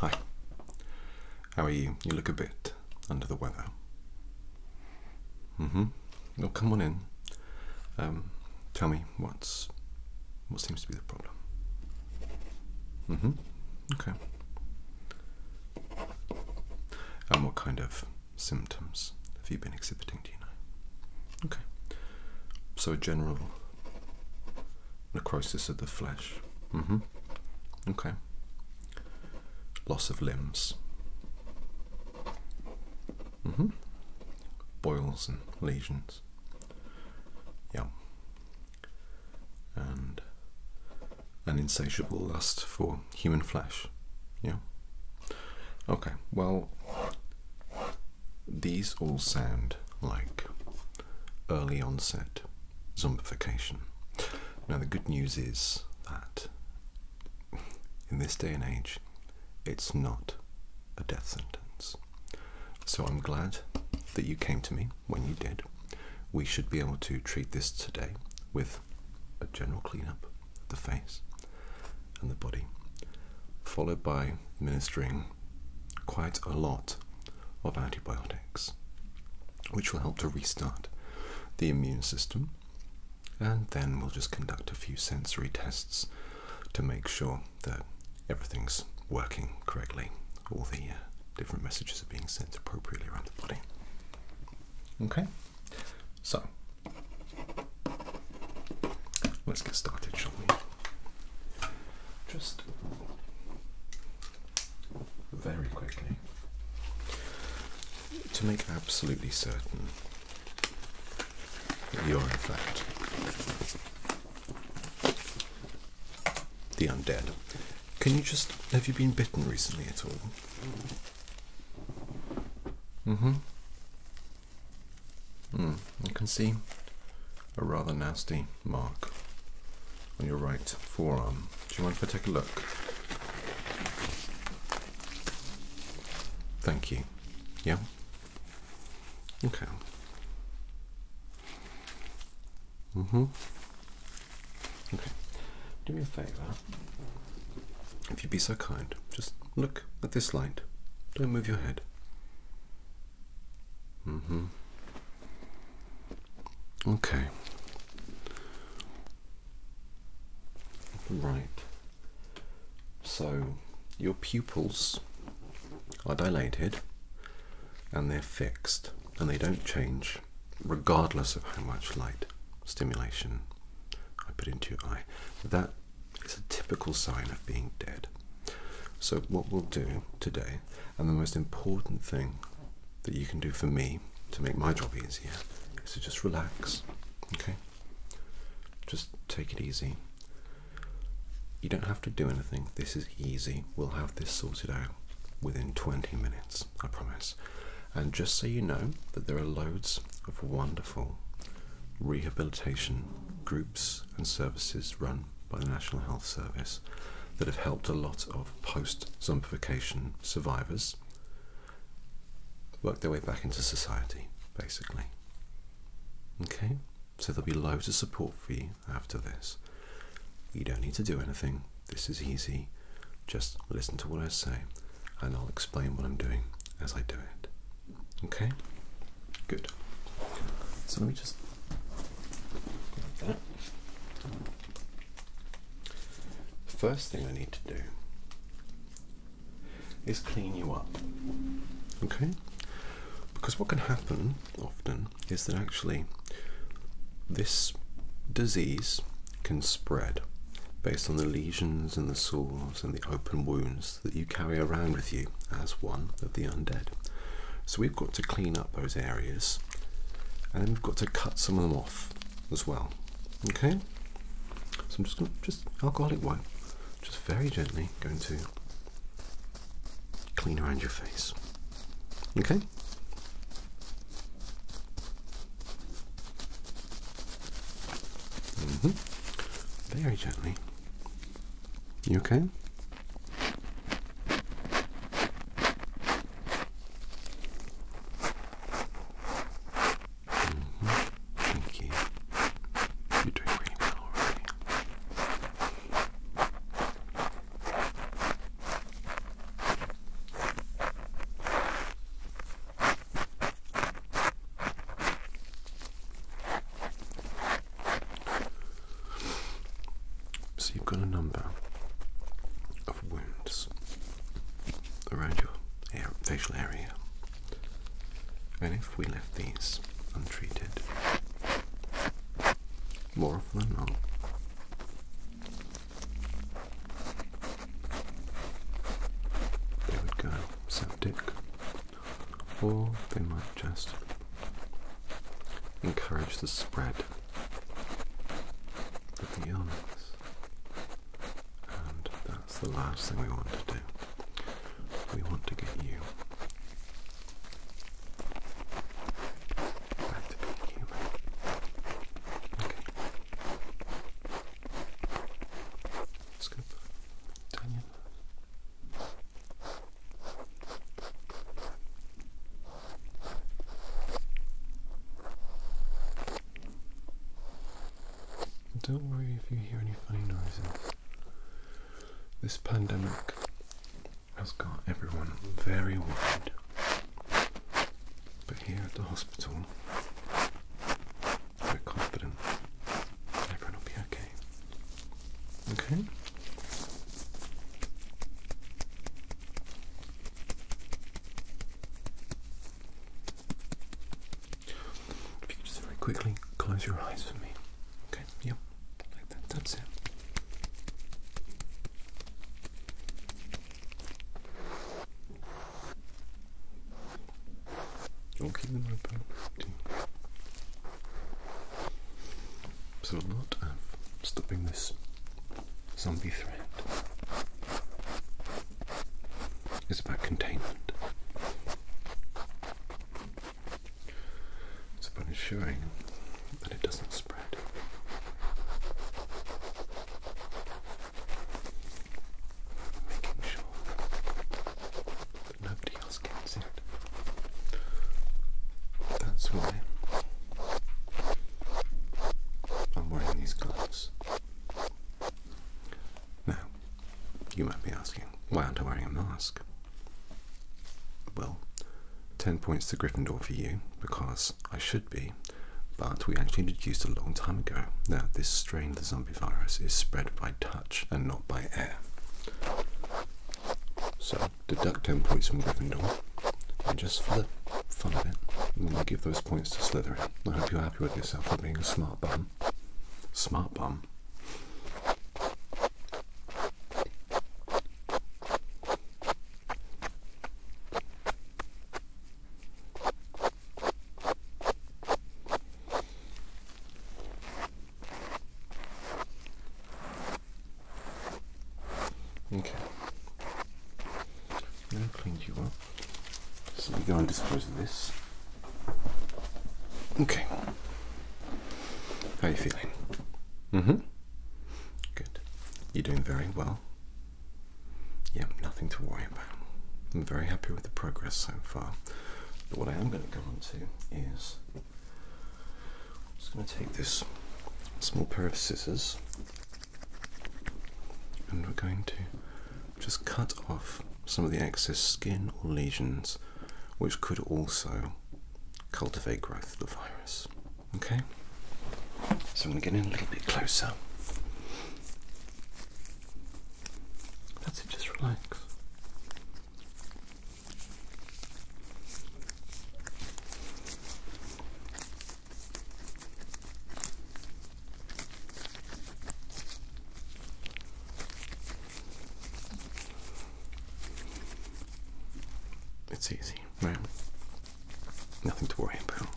Hi. How are you? You look a bit under the weather. Mm-hmm. Well, come on in. Um, tell me what's what seems to be the problem. Mm-hmm. Okay. And what kind of symptoms have you been exhibiting? Okay. So a general necrosis of the flesh. Mm-hmm. Okay. Loss of limbs. mm Boils and lesions. Yeah. And an insatiable lust for human flesh. Yeah. Okay. Well, these all sound like early onset zombification. Now, the good news is that in this day and age, it's not a death sentence. So I'm glad that you came to me when you did. We should be able to treat this today with a general cleanup the face and the body, followed by administering quite a lot of antibiotics, which will help to restart the immune system. And then we'll just conduct a few sensory tests to make sure that everything's working correctly, all the uh, different messages are being sent appropriately around the body. Okay, so Let's get started, shall we? Just very quickly to make absolutely certain that you're, in fact, the undead. Can you just. Have you been bitten recently at all? Mm hmm you hmm, can see a rather nasty mark on your right forearm. Do you mind if I take a look? Thank you. Yeah? Okay. Mm-hmm. Okay. Do me a favor. If you'd be so kind, just look at this light. Don't move your head. Mm hmm. Okay. Right. So your pupils are dilated and they're fixed and they don't change regardless of how much light stimulation I put into your eye. That it's a typical sign of being dead. So, what we'll do today, and the most important thing that you can do for me to make my job easier, is to just relax. Okay? Just take it easy. You don't have to do anything. This is easy. We'll have this sorted out within 20 minutes, I promise. And just so you know that there are loads of wonderful rehabilitation groups and services run by the National Health Service that have helped a lot of post zombification survivors work their way back into society, basically. Okay? So there'll be loads of support for you after this. You don't need to do anything, this is easy. Just listen to what I say and I'll explain what I'm doing as I do it. Okay? Good. So let me just like that. First thing I need to do is clean you up. Okay? Because what can happen often is that actually this disease can spread based on the lesions and the sores and the open wounds that you carry around with you as one of the undead. So we've got to clean up those areas and we've got to cut some of them off as well. Okay? So I'm just going to, just alcoholic wipe, just very gently going to clean around your face. Okay? Mm-hmm. Very gently. You okay? Mm-hmm. Thank you. You're doing really well already. So you've got a number of wounds around your facial area, and if we left these untreated, more often than not, they would go septic, or they might just encourage the spread of the illness. And that's the last thing we want to do. We want to get you back to being human. Don't worry if you hear any funny noises. This pandemic has got everyone very worried. But here at the hospital, very confident everyone will be okay. Okay? If you could just very quickly close your eyes for me. Okay, yep, like that. That's it. Okay, then about So a lot of stopping this zombie threat is about containment. It's about ensuring that it doesn't spread making sure that nobody else gets it. That's why I'm wearing these gloves. Now, you might be asking, why aren't I wearing a mask? Well, 10 points to Gryffindor for you, because I should be, but we actually deduced a long time ago that this strain of the zombie virus is spread by touch and not by air. So deduct 10 points from Gryffindor, and just for the fun of it, I'm going to give those points to Slytherin. I hope you're happy with yourself for being a smart bum. Smart bum. Okay. Now cleaned you up. So we go and dispose of this. Okay. How are you feeling? Mm-hmm. Good. You're doing very well. Yeah, nothing to worry about. I'm very happy with the progress so far. But what I am going to go on to is just going to take this small pair of scissors and we're going to just cut off some of the excess skin or lesions which could also cultivate growth of the virus. Okay, so I'm going to get in a little bit closer. That's it, just relax. It's easy, man. Nothing to worry about.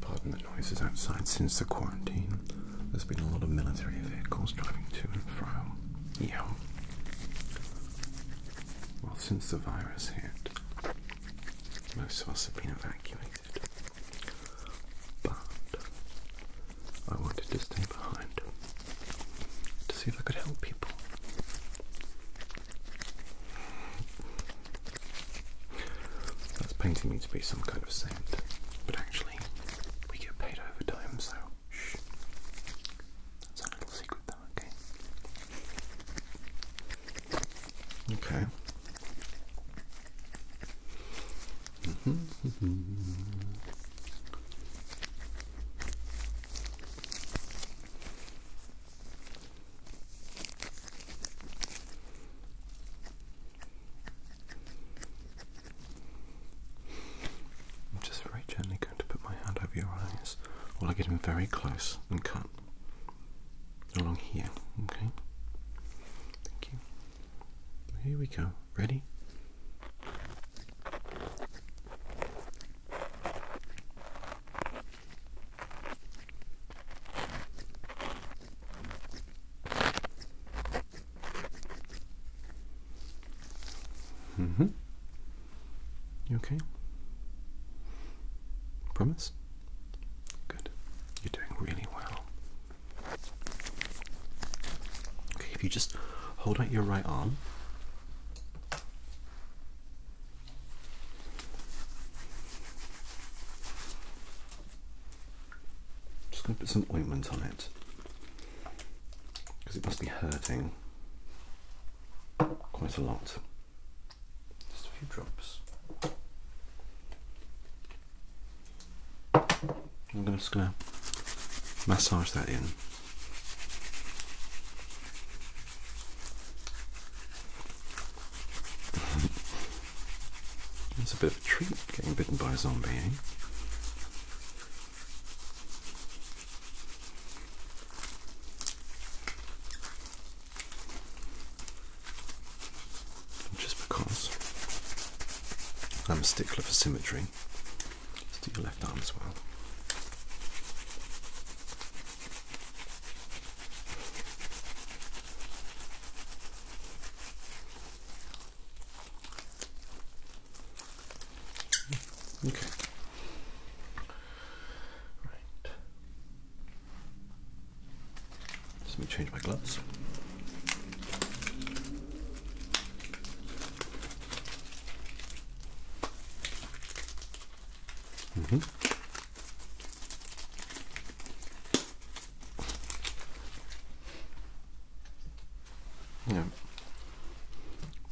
Pardon the noises outside since the quarantine. There's been a lot of military vehicles driving to and from. Yeah. Well, since the virus hit, most of us have been evacuated, but I wanted to stay behind to see if I could help people. That's painting me to be some kind of saint, but actually, we get paid overtime, so shh. That's our little secret them, okay? Okay. I'm just very gently going to put my hand over your eyes while I get in very close and cut along here. Okay. Thank you. Here we go. Ready? Mm-hmm. You okay? Promise? Good. You're doing really well. Okay, if you just hold out your right arm. Just gonna put some ointment on it because it must be hurting quite a lot. Just a few drops. I'm gonna, just going to massage that in. it's a bit of a treat getting bitten by a zombie, eh? Just because I'm a stickler for symmetry, do your left arm as well. Okay. Right. let me change my gloves. Mm-hmm. Yeah.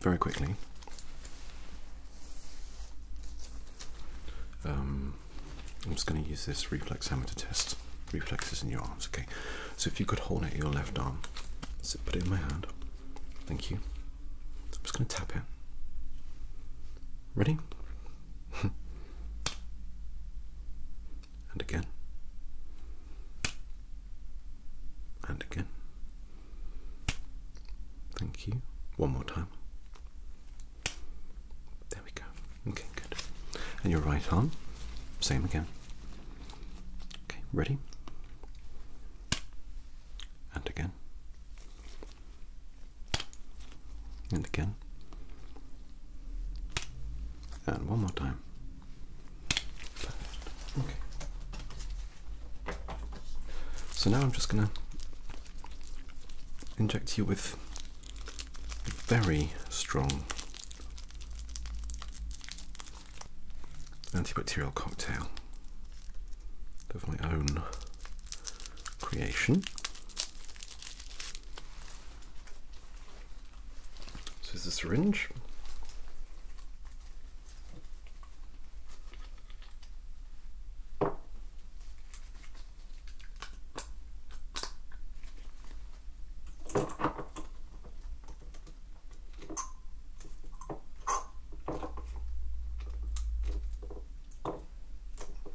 Very quickly, um, I'm just going to use this reflex hammer to test reflexes in your arms. Okay, so if you could hold it your left arm, so put it in my hand. Thank you. I'm just going to tap it. Ready? and again. And again. Thank you. One more time. There we go. Okay, good. And your right arm, same again. Okay, ready? And again. And again. And one more time. Okay. So now I'm just going to inject you with a very strong antibacterial cocktail of my own creation. So this is a syringe.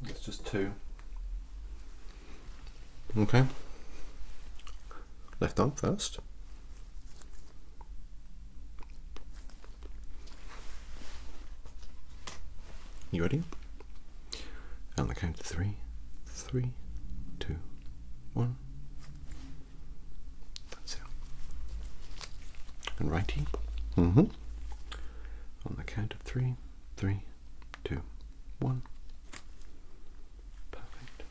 It's just two. Okay. Left arm first. You ready? On the count of three, three, two, one. That's it. And righty. hmm On the count of three, three, two, one. Perfect.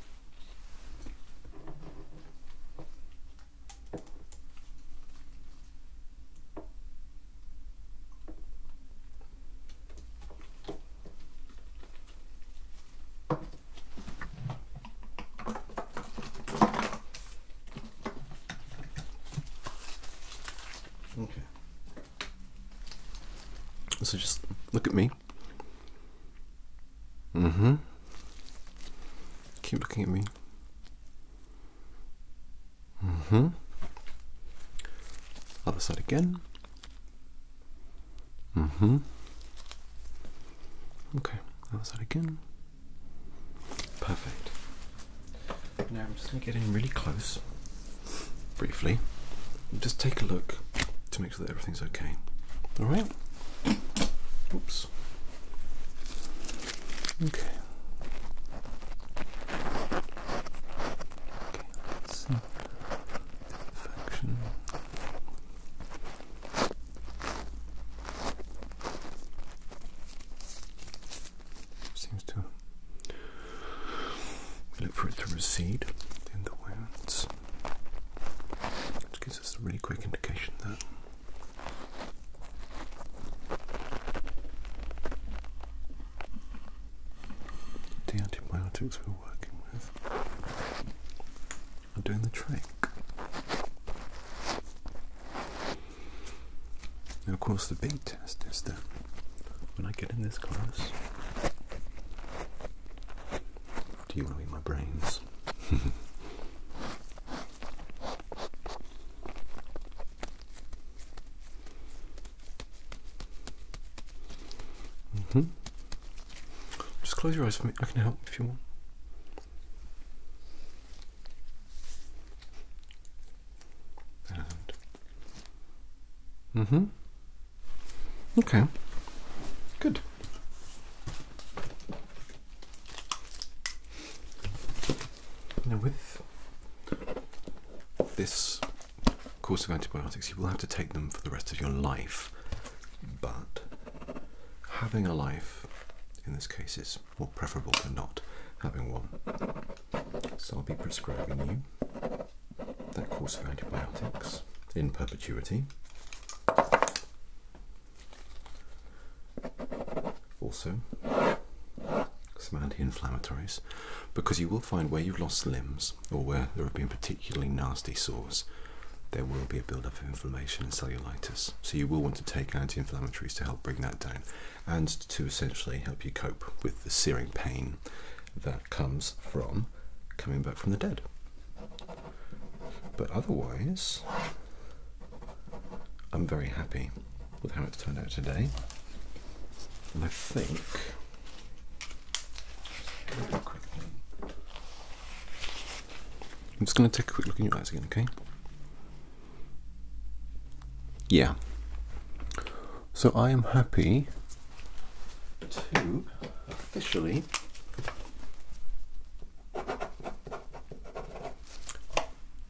Okay. So just look at me see. mm mm-hmm. Keep looking at me. Mm-hmm. Other side again. Mm-hmm. Okay, other side again. Perfect. Now I'm just going to get in really close, briefly. Just take a look to make make sure that everything's okay. All right. Oops. Okay. Let's see. Function. Seems to. look for it to recede in the wounds this. Which gives us a really quick indication that the antibiotics we're working with are doing the trick. And of course, the big test is that when I get in this class, do you want to eat my brains? Mm-hmm. Just close your eyes for me. I can help if you want. And. Mm hmm. Okay. Good. Now, with this course of antibiotics, you will have to take them for the rest of your life, but having a life in this case is more preferable to not having one. So I'll be prescribing you that course of antibiotics in perpetuity also, some anti-inflammatories because you will find where you've lost limbs or where there have been particularly nasty sores there will be a build-up of inflammation and cellulitis so you will want to take anti-inflammatories to help bring that down and to essentially help you cope with the searing pain that comes from coming back from the dead but otherwise, I'm very happy with how it's turned out today. And I think I'm just going to take a quick look in your eyes again, okay? Yeah. So I am happy to officially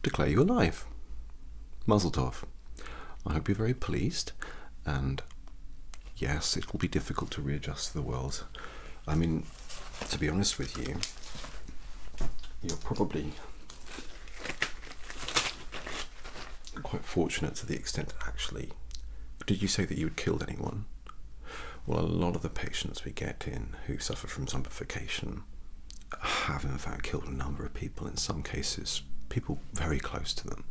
declare you alive. Mazel tov. I hope you're very pleased, and yes, it will be difficult to readjust to the world. I mean, to be honest with you, you're probably quite fortunate to the extent actually did you say that you had killed anyone? Well, a lot of the patients we get in who suffer from zombification have, in fact, killed a number of people, in some cases, people very close to them.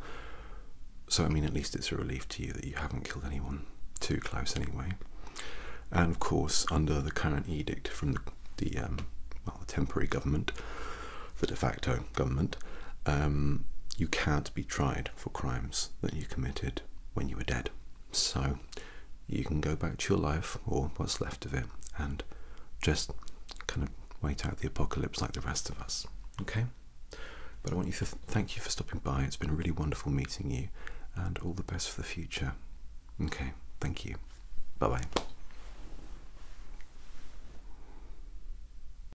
So, I mean, at least it's a relief to you that you haven't killed anyone too close, anyway. And of course, under the current edict from the, the um, well, the temporary government, the de facto government, um, you can't be tried for crimes that you committed when you were dead. So you can go back to your life or what's left of it and just kind of wait out the apocalypse like the rest of us. Okay? But I want you to thank you for stopping by. It's been really wonderful meeting you and all the best for the future. Okay, thank you. Bye bye.